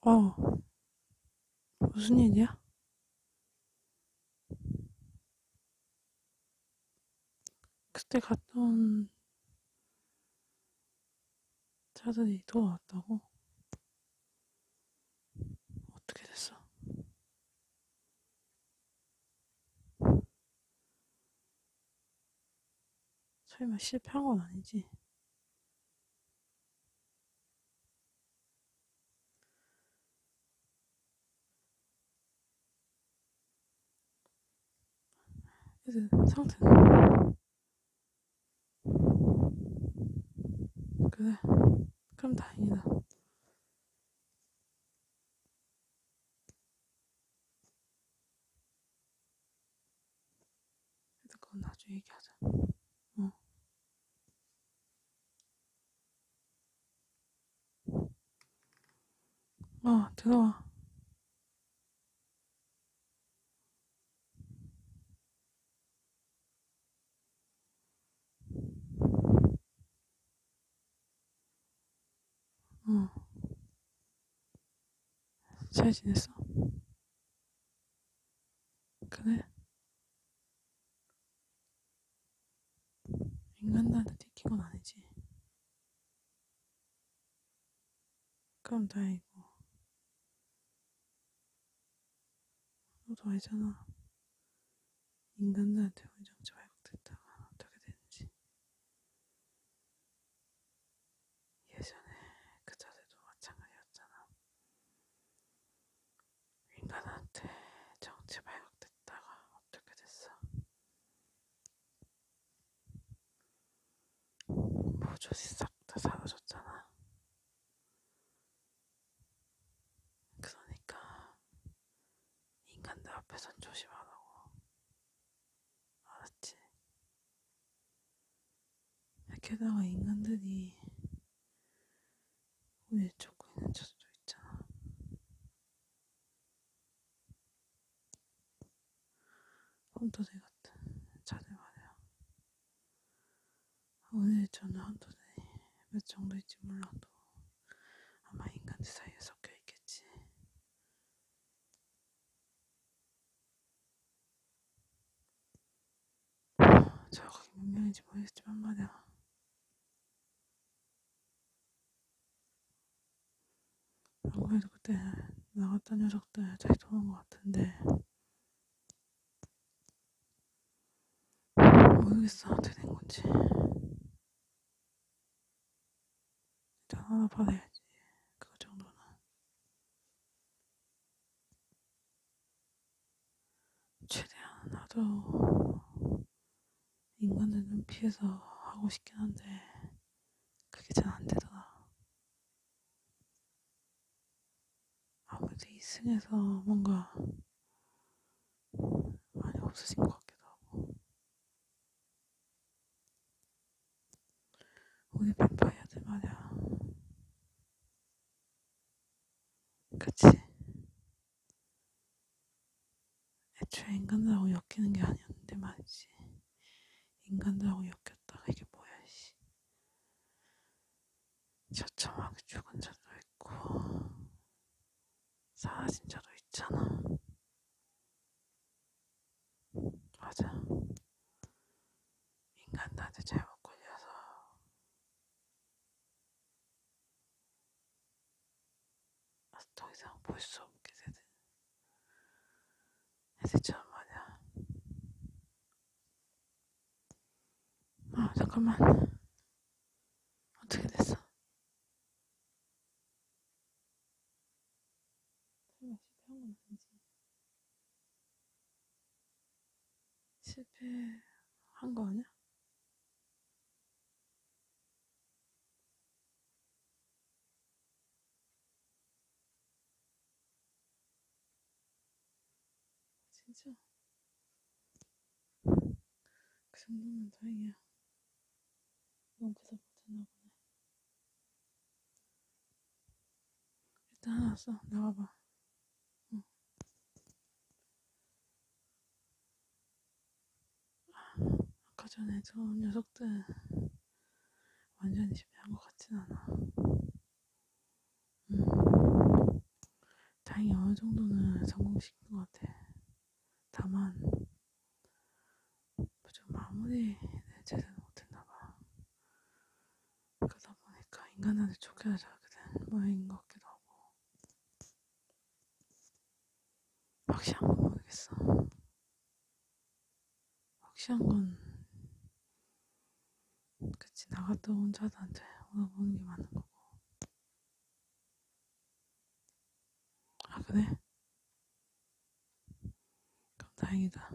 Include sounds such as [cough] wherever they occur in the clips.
어, 무슨 일이야? 그때 갔던 차들이 또 왔다고? 어떻게 됐어? 설마 실패한 건 아니지? 그래서 상태는 그래 그럼 다행이다 그건 나중에 얘기하자. 어. 아, 들어와. 어. 잘 지냈어? 그래? 인간들한테 튀긴 건 아니지. 그럼 다행이고. 너도 알잖아. 인간들한테 혼정치 발각됐다가 어떻게 되는지 예전에 그 자세도 마찬가지였잖아. 인간한테 정치 발각됐다가 어떻게 됐어? 모조리 싹다 사라졌잖아. 그러니까 인간들 앞에선 조심하라고. 알았지? 게다가 인간들이 우리를 쫓고 있는 저도 있잖아. 헌터대 같은 자들 말이야. 아, 오늘 저는 헌터대 몇 정도일지 몰라도 아마 인간들 사이에 섞여 있겠지. 아, 저거기 몇 명인지 모르겠지만 말이야. 아무래도 그때 나갔던 녀석들 다시 도는 것 같은데 모르겠어 어떻게 된 건지 일단 하나 받아야지. 그 정도는. 최대한 나도 인간들 눈 피해서 하고 싶긴 한데 그게 잘 안 되더라. 아무래도 이승에서 뭔가 많이 없어진 것 같기도 하고 우리 뱀파이어들 말이야 그치 애초에 인간들하고 엮이는 게 아니었는데 말이지 인간들하고 엮였다가 이게 뭐야 씨 처참하게 죽은 자도 있고 사라진 자도 있잖아. 맞아. 인간한테 잘못 걸려서. 더 이상 볼 수 없게 되는 애들처럼 말이야. 아, 잠깐만. 어떻게 됐어? 설마 실패한 건 아니지? 실패한 거 아니야? 진짜? 그 정도면 다행이야. 넌 그저 못했나 보네. 일단 하나 왔어. 나가봐. 응. 아까 전에 저 녀석들 완전히 실패한 것 같진 않아. 음. 다행히 어느 정도는 성공시킨 것 같아. 다만, 좀 마무리를 제대로 못했나봐. 그러다 보니까 인간한테 쫓겨야 자게 된 모양인 것 같기도 하고. 확실한 건 모르겠어. 확실한 건, 그치, 나갔다 온 자들한테 물어보는 게 맞는 거고. 아, 그래? 그럼 다행이다.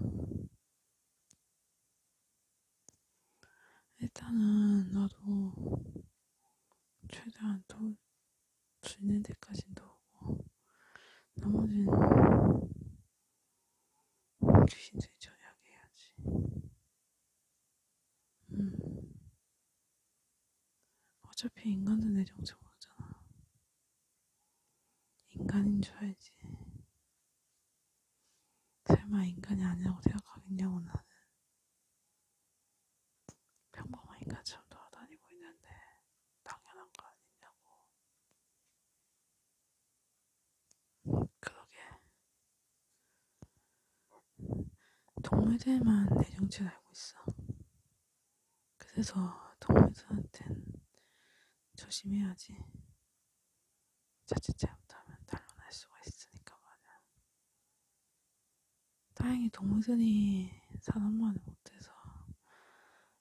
일단은 나도 최대한 도울 수 있는 데까진 도우고 나머지는 귀신들이 처리하게 해야지. 음. 어차피 인간은 내 정체 모르잖아. 인간인 줄 알지. 설마 인간이 아니라고 생각하겠냐고 나는. 평범한 인간처럼 돌아다니고 있는데 당연한 거 아니냐고. 그러게 동물들만 내 정체를 알고 있어. 그래서 동물들한텐 조심해야지. 자칫 잘못하면 단론할 수가 있으니까 말이야. 다행히 동물들이 사람만을 못해서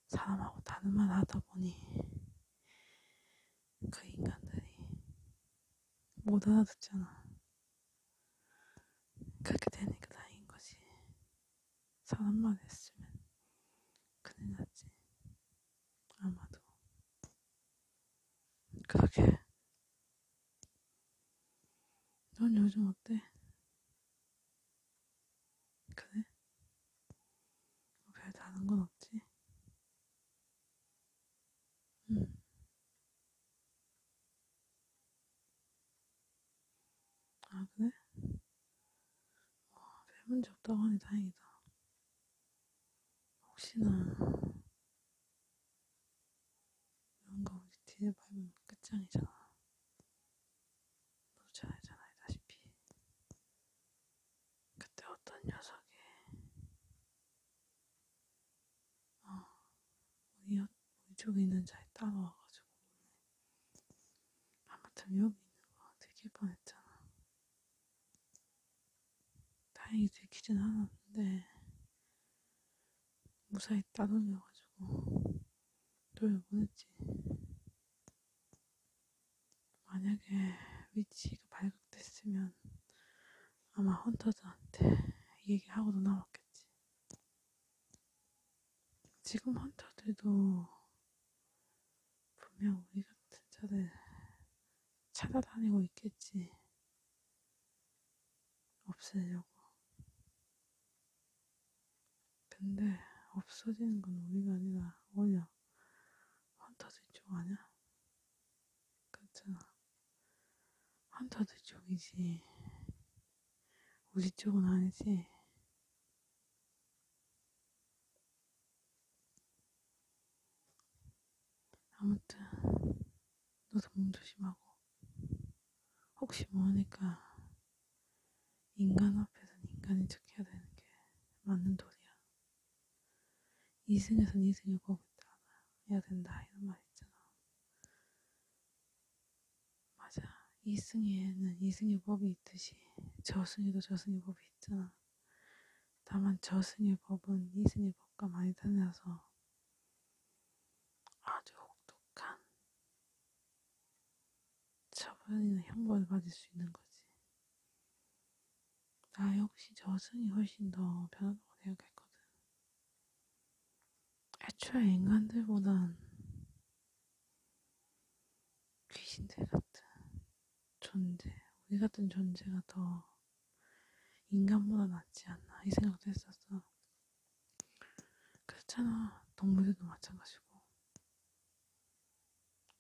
사람하고 다른 말 하다 보니 그 인간들이 못 알아듣잖아. 그렇게 되니까 다행인 거지. 사람만 했으면 큰일 났지. 아마도. 그렇게. 넌 요즘 어때? 그래? 뭐 별 다른 건 없지? 응. 아 그래? 아, 별 문제 없다고 하니 다행이다. 혹시나 뭔가 우리 뒤에 밟으면 끝장이잖아. 너잘 알잖아 알다시피. 그때 어떤 녀석이 아, 우리, 옆, 우리 쪽에 있는 차에 따라와가지고. 아무튼 여기 있는 거 들킬 뻔했잖아. 다행히 들키진 않았는데, 무사히 따돌려가지고, 돌려보냈지. 만약에 위치가 발각됐으면 아마 헌터들한테 얘기하고도 남았겠지. 지금 헌터들도 분명 우리 같은 차를 찾아다니고 있겠지. 없애려고. 근데 없어지는 건 우리가 아니라 뭐냐? 헌터들 쪽 아니야? 그렇잖아. 한타도 쪽이지. 우리 쪽은 아니지. 아무튼 너도 몸 조심하고 혹시 모르니까 인간 앞에선 인간인 척 해야 되는 게 맞는 도리야. 2승에선 2승일 거고 있잖아. 해야 된다. 이런 말 있잖아. 맞아. 2승에는 2승의 법이 있듯이 저승에도 저승의 법이 있잖아. 다만 저승의 법은 2승의 법과 많이 달라서 아주 혹독한 처벌이나 형벌을 받을 수 있는 거지. 나 역시 저승이 훨씬 더 편하다고 생각했거든. 애초에 인간들보단 귀신들 같은 존재, 우리 같은 존재가 더 인간보다 낫지 않나 이 생각도 했었어. 그렇잖아. 동물들도 마찬가지고.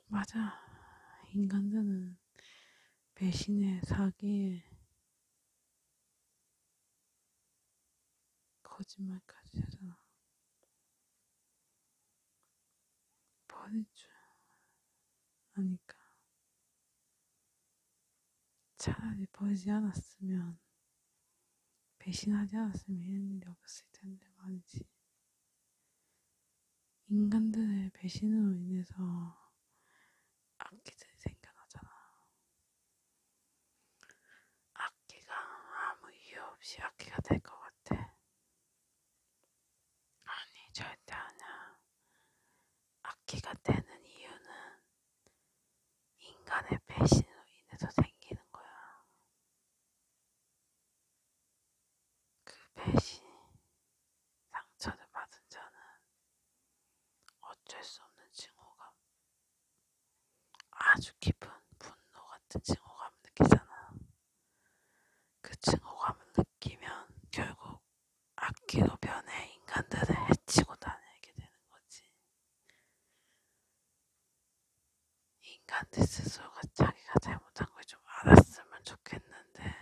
맞아. 인간들은 배신의 사기에 거짓말까지 하잖아. 버릴 줄 아니까. 차라리 버리지 않았으면, 배신하지 않았으면 이런 일이 없었을 텐데 말이지. 인간들의 배신으로 인해서 악기들이 생겨나잖아. 악기가 아무 이유 없이 악기가 될 것 같아. 아니, 절대 아니야. 악기가 되는 이유는 인간의 배신으로 인해서 생기는 거야. 그 배신, 상처를 받은 자는 어쩔 수 없는 징후감, 아주 깊은 분노 같은 징후감을 느끼잖아. 그 징후감을 느끼면 결국 악기로 변해 인간들을 해치고 다니게 되는 거지. 인간들 스스로가 자기가 잘못한 걸 좀 알았으면 좋겠는데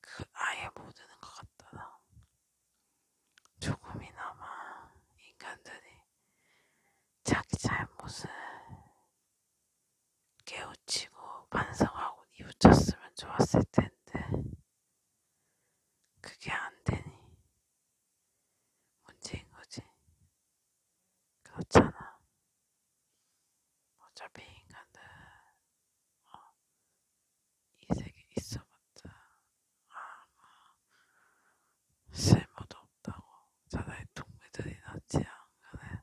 그걸 아예 모르는 것 같더라. 조금이나마 인간들이 자기 잘못을 깨우치고 반성하고 이웃쳤으면 좋았을 텐데 그게 안 되니 문제인 거지. 그렇잖아. 어차피 인간은 어, 이 세계 있어봤자 아무 쓸모도 없다고 차라리 동물들이 낫지 않으네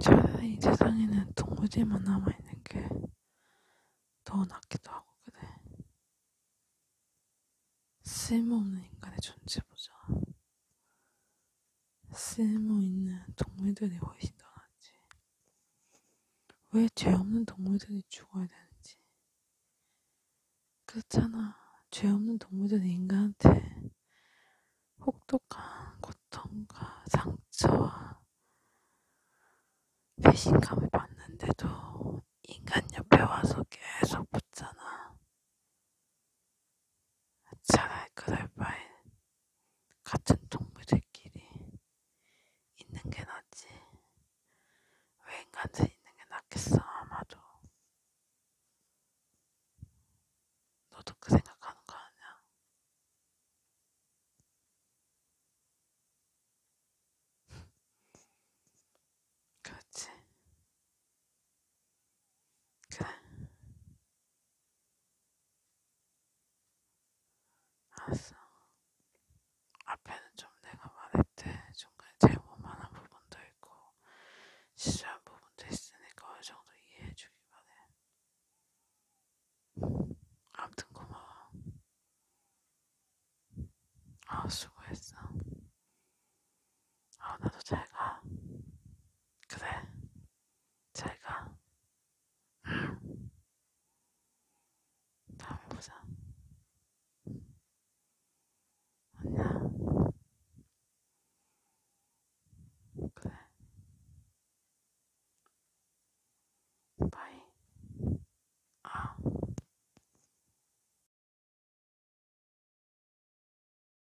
차라리 이 세상에는 동물들만 남아있는 게 더 낫기도 하고 그래 쓸모없는 인간의 존재보자 쓸모 있는 동물들이 훨씬 더 낫지. 왜 죄 없는 동물들이 죽어야 되는지. 그렇잖아. 죄 없는 동물들이 인간한테 혹독한 고통과 상처와 배신감을 받는데도 인간 옆에 와서 계속 붙잖아. 차라리 그럴 바엔 같은 동물들끼리 있는 게 낫지. 왜 인간들 있는 게 낫겠어, 아마도. 너도 그 생각하는 거 아니야? [laughs] 그렇지. Okay. 그, 알았어. 앞에는 좀 내가 말했대. 중간에 잘못만한 부분도 있고 지저한 부분도 있으니까 어느 정도 이해해주기만 해. 아무튼 고마워. 아 수고했어. 아 나도 잘 가. 그래. 잘가 음. 다음 보자 안녕 그래 바이 아